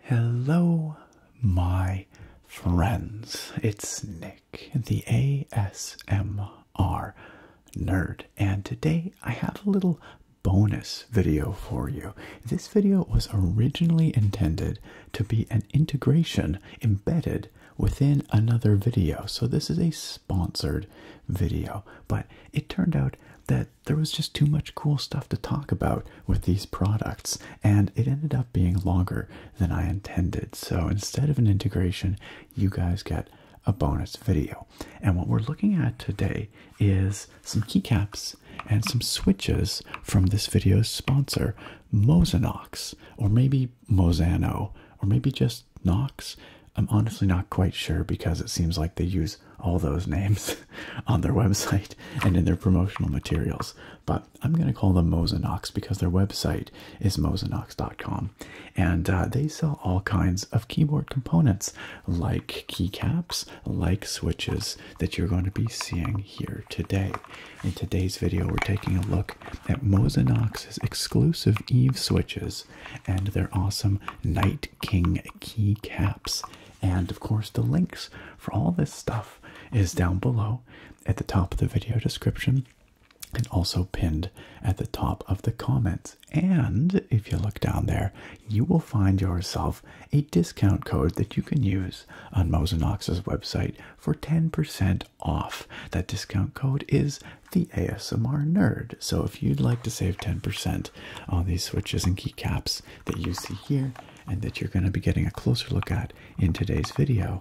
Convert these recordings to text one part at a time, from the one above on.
Hello, my friends. It's Nick, the ASMR nerd, and today I have a little bonus video for you. This video was originally intended to be an integration embedded within another video. So this is a sponsored video, but it turned out that there was just too much cool stuff to talk about with these products and it ended up being longer than I intended. So instead of an integration, you guys get a bonus video. And what we're looking at today is some keycaps and some switches from this video's sponsor, Mosanox, or maybe Mosano, or maybe just Knox. I'm honestly not quite sure because it seems like they use all those names on their website and in their promotional materials. But I'm going to call them Mosanox because their website is mosanox.com. And uh, they sell all kinds of keyboard components like keycaps, like switches that you're going to be seeing here today. In today's video, we're taking a look at Mosinox's exclusive Eve switches and their awesome Night King keycaps. And of course, the links for all this stuff is down below at the top of the video description and also pinned at the top of the comments. And if you look down there, you will find yourself a discount code that you can use on Mosinox's website for 10% off. That discount code is the ASMR Nerd. So if you'd like to save 10% on these switches and keycaps that you see here and that you're going to be getting a closer look at in today's video,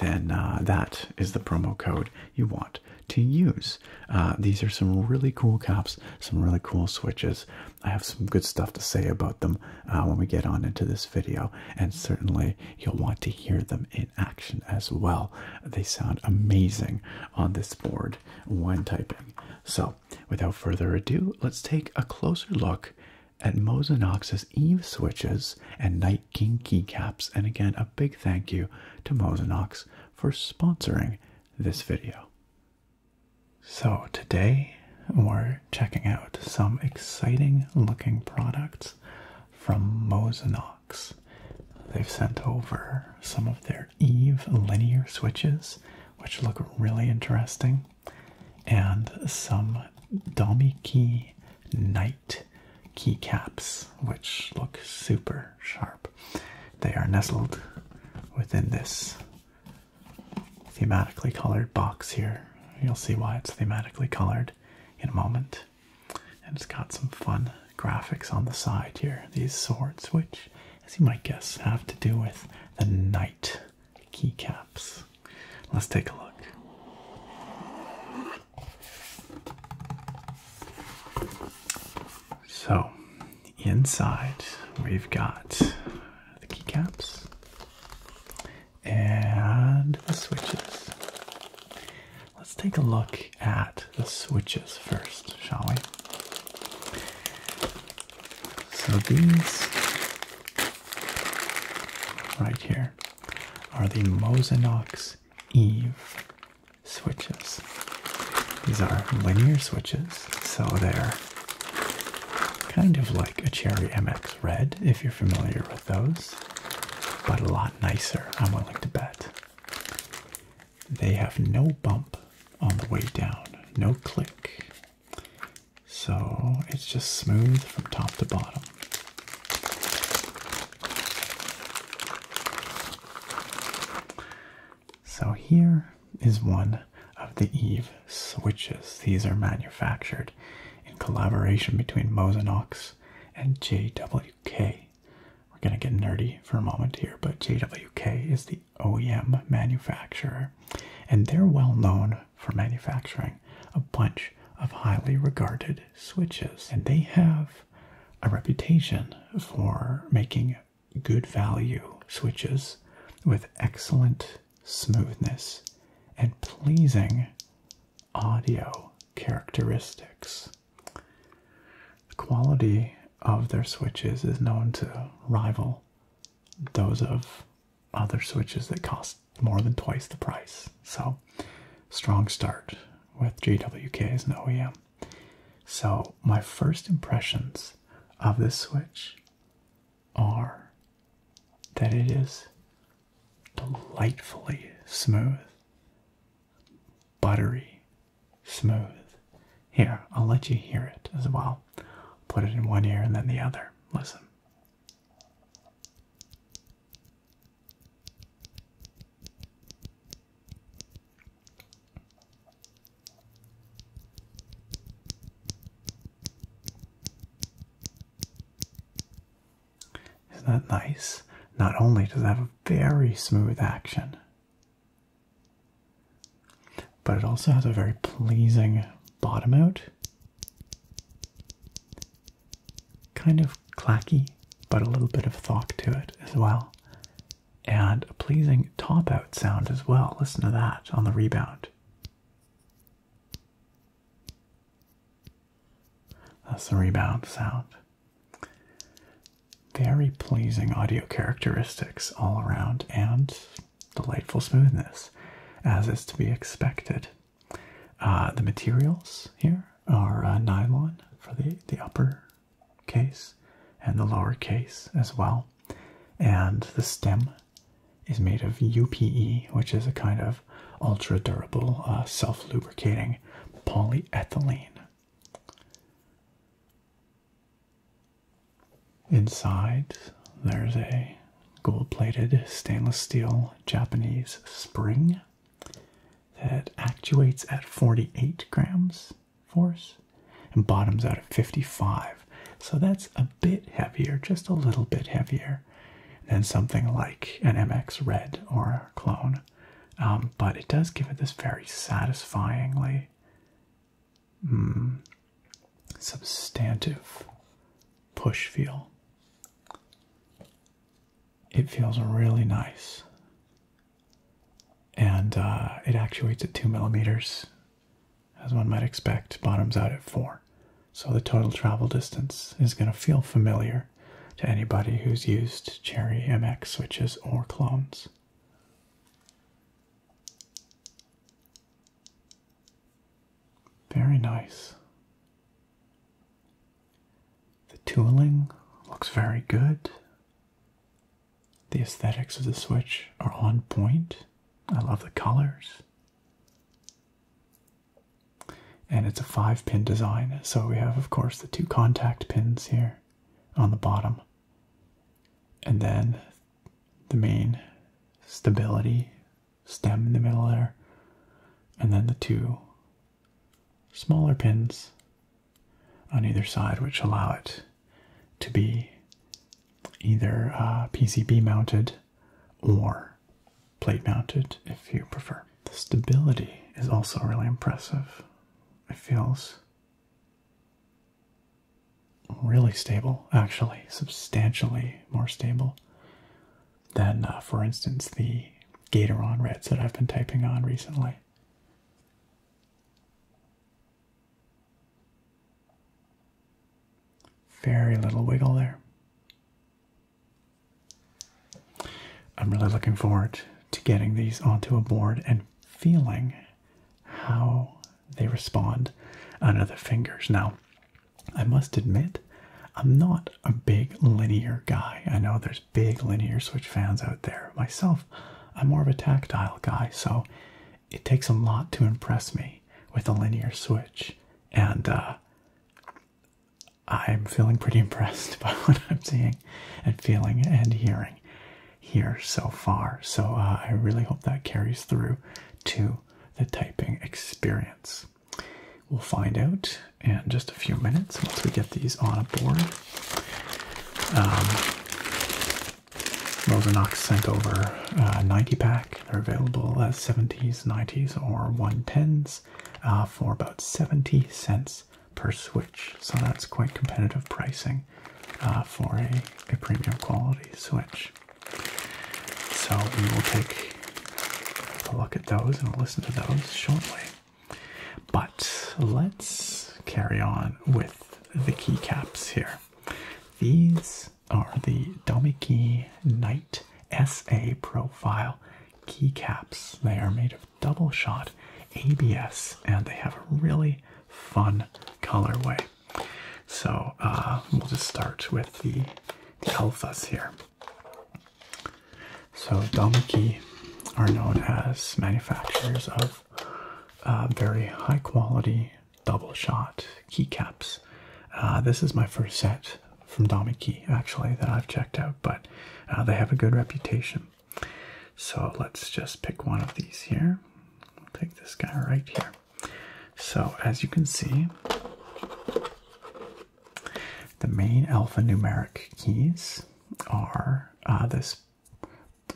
then uh, that is the promo code you want to use. Uh, these are some really cool caps, some really cool switches. I have some good stuff to say about them uh, when we get on into this video, and certainly you'll want to hear them in action as well. They sound amazing on this board when typing. So, without further ado, let's take a closer look at Mosinox's Eve switches and Night King keycaps. And again, a big thank you to Mosinox for sponsoring this video. So today we're checking out some exciting looking products from Mosinox. They've sent over some of their Eve linear switches, which look really interesting, and some dummy night keycaps, which look super sharp. They are nestled within this thematically colored box here. You'll see why it's thematically colored in a moment. And it's got some fun graphics on the side here. These swords, which, as you might guess, have to do with the knight keycaps. Let's take a look. So, inside we've got the keycaps and the switches. Let's take a look at the switches first, shall we? So these right here are the Mosinox Eve switches. These are linear switches, so they're kind of like a Cherry MX Red, if you're familiar with those, but a lot nicer, I'm willing to bet. They have no bump on the way down, no click, so it's just smooth from top to bottom. So here is one of the Eve switches. These are manufactured in collaboration between Mosinox and JWK. We're going to get nerdy for a moment here, but JWK is the OEM manufacturer, and they're well known for manufacturing a bunch of highly regarded switches. And they have a reputation for making good value switches with excellent smoothness and pleasing audio characteristics. The quality of their switches is known to rival those of other switches that cost more than twice the price. So, strong start with JWK as an OEM. So, my first impressions of this Switch are that it is delightfully smooth, buttery smooth. Here, I'll let you hear it as well. Put it in one ear and then the other. Listen. Isn't that nice? Not only does it have a very smooth action, but it also has a very pleasing bottom out. Kind of clacky, but a little bit of thock to it as well. And a pleasing top out sound as well. Listen to that on the rebound. That's the rebound sound. Very pleasing audio characteristics all around and delightful smoothness, as is to be expected. Uh, the materials here are uh, nylon for the, the upper case and the lower case as well. And the stem is made of UPE, which is a kind of ultra durable, uh, self lubricating polyethylene. Inside, there's a gold plated stainless steel Japanese spring that actuates at 48 grams force and bottoms out at 55. So that's a bit heavier, just a little bit heavier than something like an MX Red or a clone. Um, but it does give it this very satisfyingly hmm, substantive push feel it feels really nice. And uh, it actuates at two millimeters, as one might expect, bottoms out at four. So the total travel distance is going to feel familiar to anybody who's used Cherry MX switches or clones. Very nice. The tooling looks very good. The aesthetics of the Switch are on point. I love the colors. And it's a five pin design, so we have, of course, the two contact pins here on the bottom, and then the main stability stem in the middle there, and then the two smaller pins on either side, which allow it to be either uh, PCB mounted or plate mounted if you prefer. The stability is also really impressive. It feels really stable, actually, substantially more stable than, uh, for instance, the Gatoron Reds that I've been typing on recently. Very little wiggle there. I'm really looking forward to getting these onto a board and feeling how they respond under the fingers. Now, I must admit I'm not a big linear guy. I know there's big linear Switch fans out there. Myself, I'm more of a tactile guy, so it takes a lot to impress me with a linear Switch. And uh, I'm feeling pretty impressed by what I'm seeing and feeling and hearing here so far. So uh, I really hope that carries through to the typing experience. We'll find out in just a few minutes once we get these on a board. Um, Rosenox sent over a 90 pack. They're available as 70s, 90s, or 110s uh, for about 70 cents per switch. So that's quite competitive pricing uh, for a premium quality switch. So we will take I'll look at those and I'll listen to those shortly. But let's carry on with the keycaps here. These are the Domiki Knight SA Profile keycaps. They are made of double shot ABS and they have a really fun colorway. So uh, we'll just start with the, the here. So Damaki are known as manufacturers of uh, very high quality double shot keycaps. Uh, this is my first set from Damaki actually that I've checked out, but uh, they have a good reputation. So let's just pick one of these here. We'll take this guy right here. So as you can see, the main alphanumeric keys are uh, this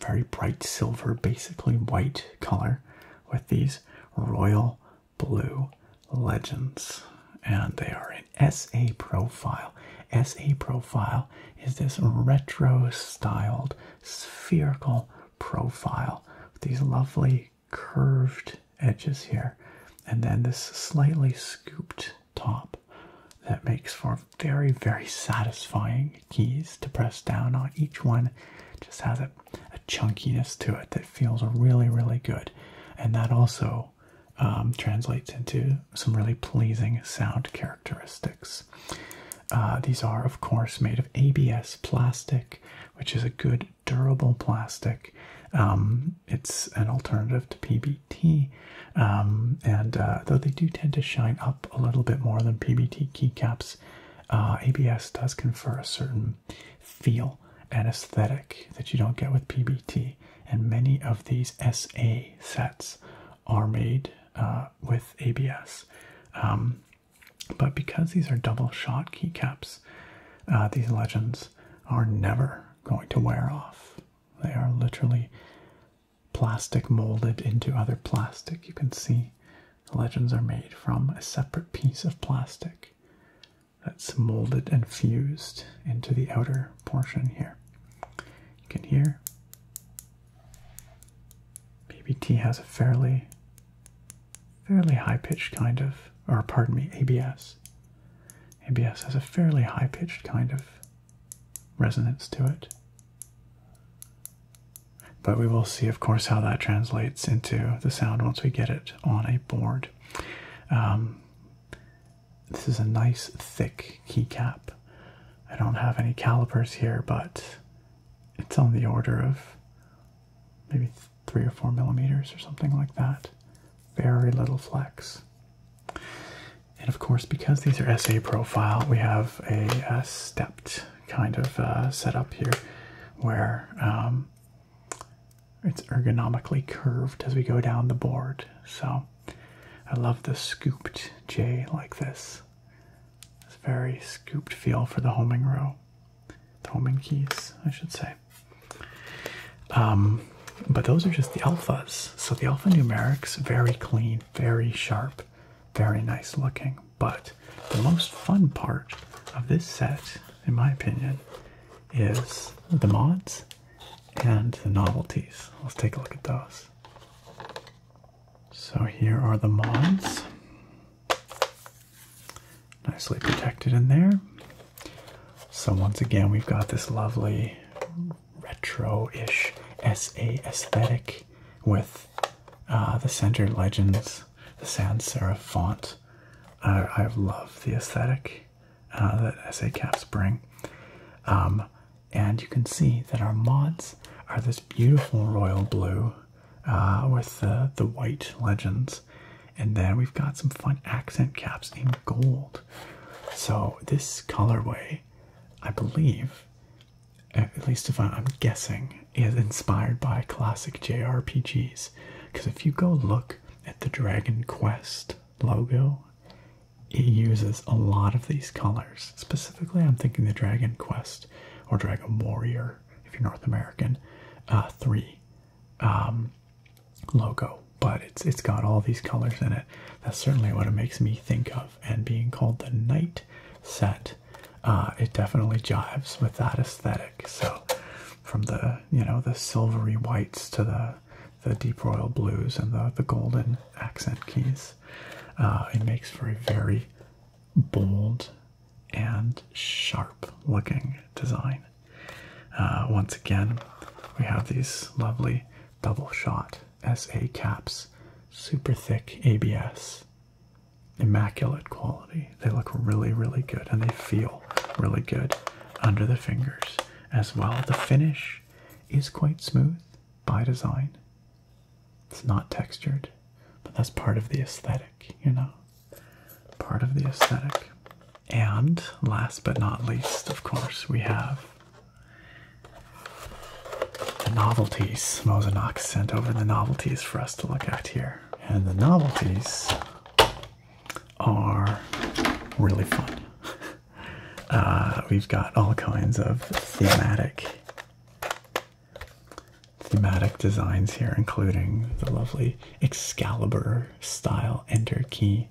very bright silver, basically white color, with these royal blue legends. And they are in SA Profile. SA Profile is this retro styled spherical profile with these lovely curved edges here, and then this slightly scooped top that makes for very, very satisfying keys to press down on. Each one just has a, chunkiness to it that feels really, really good, and that also um, translates into some really pleasing sound characteristics. Uh, these are, of course, made of ABS plastic which is a good durable plastic. Um, it's an alternative to PBT, um, and uh, though they do tend to shine up a little bit more than PBT keycaps, uh, ABS does confer a certain feel and aesthetic that you don't get with PBT. And many of these SA sets are made uh, with ABS. Um, but because these are double shot keycaps, these legends, are never going to wear off. They are literally plastic molded into other plastic. You can see the legends are made from a separate piece of plastic that's molded and fused into the outer portion here. You can hear BBT has a fairly fairly high pitched kind of, or pardon me, ABS. ABS has a fairly high pitched kind of resonance to it. But we will see, of course, how that translates into the sound once we get it on a board. Um, this is a nice thick keycap. I don't have any calipers here, but it's on the order of maybe three or four millimeters or something like that. Very little flex. And of course, because these are SA profile, we have a, stepped kind of uh, setup here where um, it's ergonomically curved as we go down the board. So I love the scooped J like this. It's very scooped feel for the homing row the homing keys, I should say. Um, but those are just the alphas. So the alphanumerics, very clean, very sharp, very nice looking. But the most fun part of this set, in my opinion, is the mods and the novelties. Let's take a look at those. So here are the mods. Nicely protected in there. So, once again, we've got this lovely retro ish SA aesthetic with uh, the Center Legends, the sans serif font. I love the aesthetic uh, that SA caps bring. Um, and you can see that our mods are this beautiful royal blue uh, with the white legends and then we've got some fun accent caps in gold. So this colorway, I believe, at least if I'm guessing, is inspired by classic JRPGs. Because if you go look at the Dragon Quest logo, it uses a lot of these colors. Specifically, I'm thinking the Dragon Quest or Dragon Warrior if you're North American, uh, three um, logo. But it's it's got all these colors in it. That's certainly what it makes me think of. And being called the night set, uh, it definitely jives with that aesthetic. So from the you know the silvery whites to the the deep royal blues and the, the golden accent keys. Uh, it makes for a very bold and sharp looking design. Uh, once again, we have these lovely double shot SA caps, super thick ABS, immaculate quality. They look really, really good and they feel really good under the fingers as well. The finish is quite smooth by design. It's not textured, but that's part of the aesthetic, you know part of the aesthetic. And last but not least, of course, we have the novelties. Mosenok sent over the novelties for us to look at here. And the novelties are really fun. Uh, we've got all kinds of thematic thematic designs here, including the lovely Excalibur style enter key.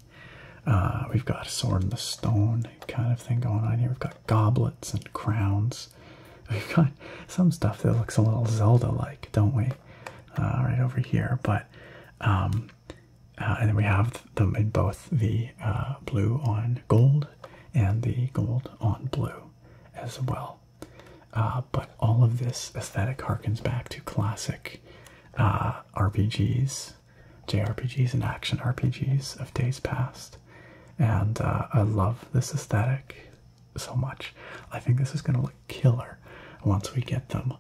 Uh, we've got a sword in the stone kind of thing going on here. We've got goblets and crowns. We've got some stuff that looks a little Zelda-like, don't we? Uh, right over here, but um, uh, and then we have them in both the blue on gold and the gold on blue as well. Uh, but all of this aesthetic harkens back to classic uh, RPGs, JRPGs, and action RPGs of days past. And uh, I love this aesthetic so much. I think this is going to look killer once we get them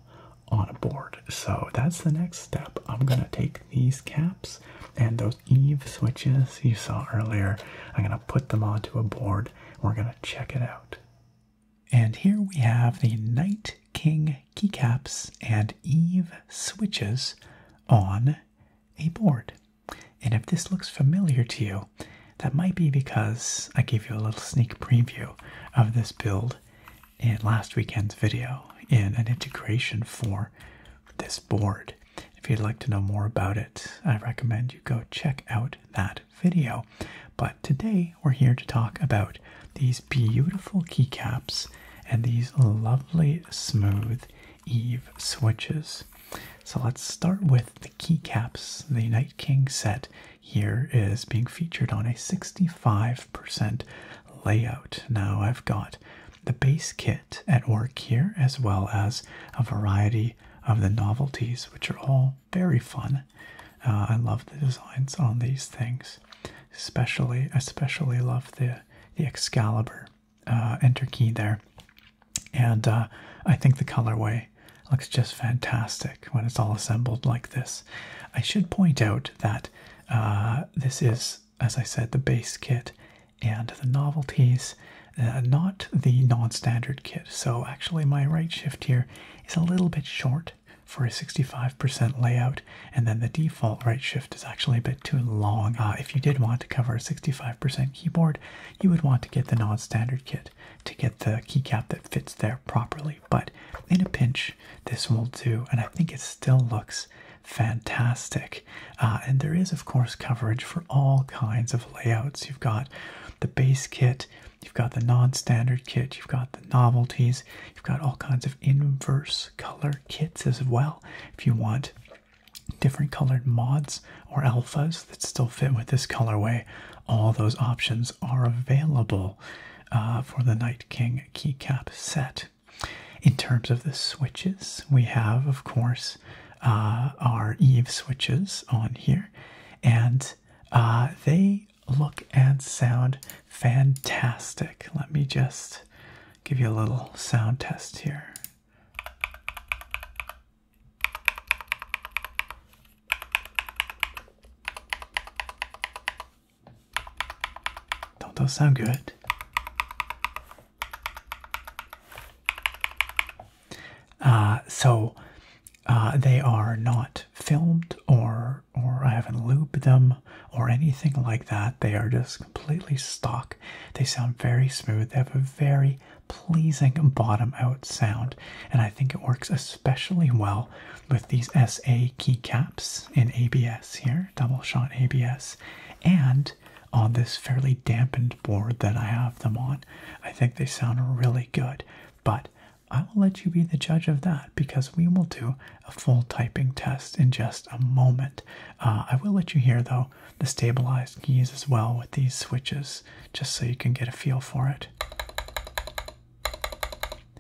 on a board. So that's the next step. I'm going to take these caps and those Eve switches you saw earlier. I'm going to put them onto a board we're going to check it out. And here we have the Knight King keycaps and Eve switches on a board. And if this looks familiar to you, that might be because I gave you a little sneak preview of this build in last weekend's video in an integration for this board. If you'd like to know more about it, I recommend you go check out that video. But today we're here to talk about these beautiful keycaps and these lovely smooth Eve switches. So let's start with the keycaps. The Night King set here is being featured on a 65% layout. Now I've got the base kit at work here, as well as a variety of the novelties, which are all very fun. Uh, I love the designs on these things, especially I especially love the the Excalibur uh, enter key there, and uh, I think the colorway looks just fantastic when it's all assembled like this. I should point out that this is, as I said, the base kit, and the novelties, uh, not the non-standard kit. So actually my right shift here is a little bit short for a 65% layout, and then the default right shift is actually a bit too long. Uh, if you did want to cover a 65% keyboard, you would want to get the non-standard kit to get the keycap that fits there properly. But in a pinch, this will do, and I think it still looks fantastic. Uh, and there is, of course, coverage for all kinds of layouts. You've got the base kit, you've got the non standard kit, you've got the novelties, you've got all kinds of inverse color kits as well. If you want different colored mods or alphas that still fit with this colorway, all those options are available uh, for the Night King keycap set. In terms of the switches, we have, of course, uh, our Eve switches on here, and uh, they look and sound fantastic. Let me just give you a little sound test here. Don't those sound good? Uh, so uh, they are not filmed or or I haven't lubed them or anything like that. They are just completely stock. They sound very smooth. They have a very pleasing bottom out sound, and I think it works especially well with these SA keycaps in ABS here, double shot ABS, and on this fairly dampened board that I have them on. I think they sound really good, but I will let you be the judge of that because we will do a full typing test in just a moment. Uh, I will let you hear though the stabilized keys as well with these switches just so you can get a feel for it.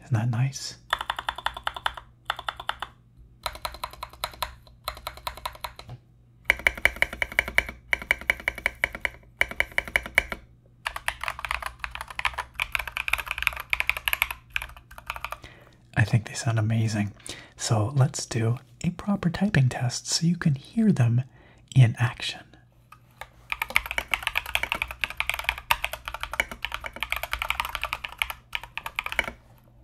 Isn't that nice? I think they sound amazing. So let's do a proper typing test so you can hear them in action.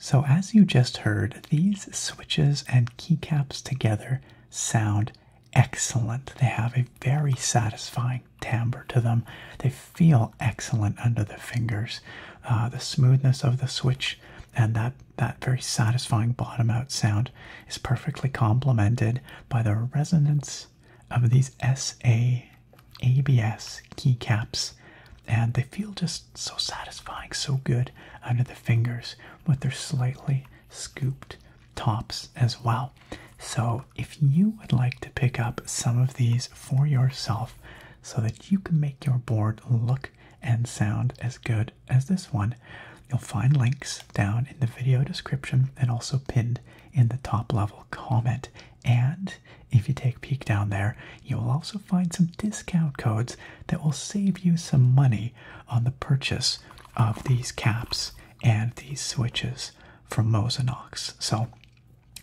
So as you just heard, these switches and keycaps together sound excellent. They have a very satisfying timbre to them. They feel excellent under the fingers. Uh, the smoothness of the switch and that that very satisfying bottom out sound is perfectly complemented by the resonance of these S A A B S keycaps and they feel just so satisfying so good under the fingers with their slightly scooped tops as well. So, if you would like to pick up some of these for yourself so that you can make your board look and sound as good as this one, you'll find links down in the video description and also pinned in the top level comment. And if you take a peek down there, you'll also find some discount codes that will save you some money on the purchase of these caps and these switches from Mosinox. So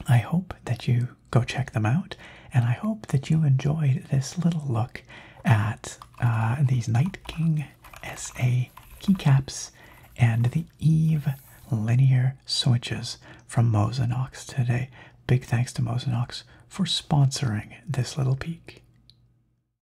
I hope that you go check them out, and I hope that you enjoyed this little look at uh, these Night King SA keycaps and the Eve linear switches from Mosinox today. Big thanks to Mosinox for sponsoring this little peek.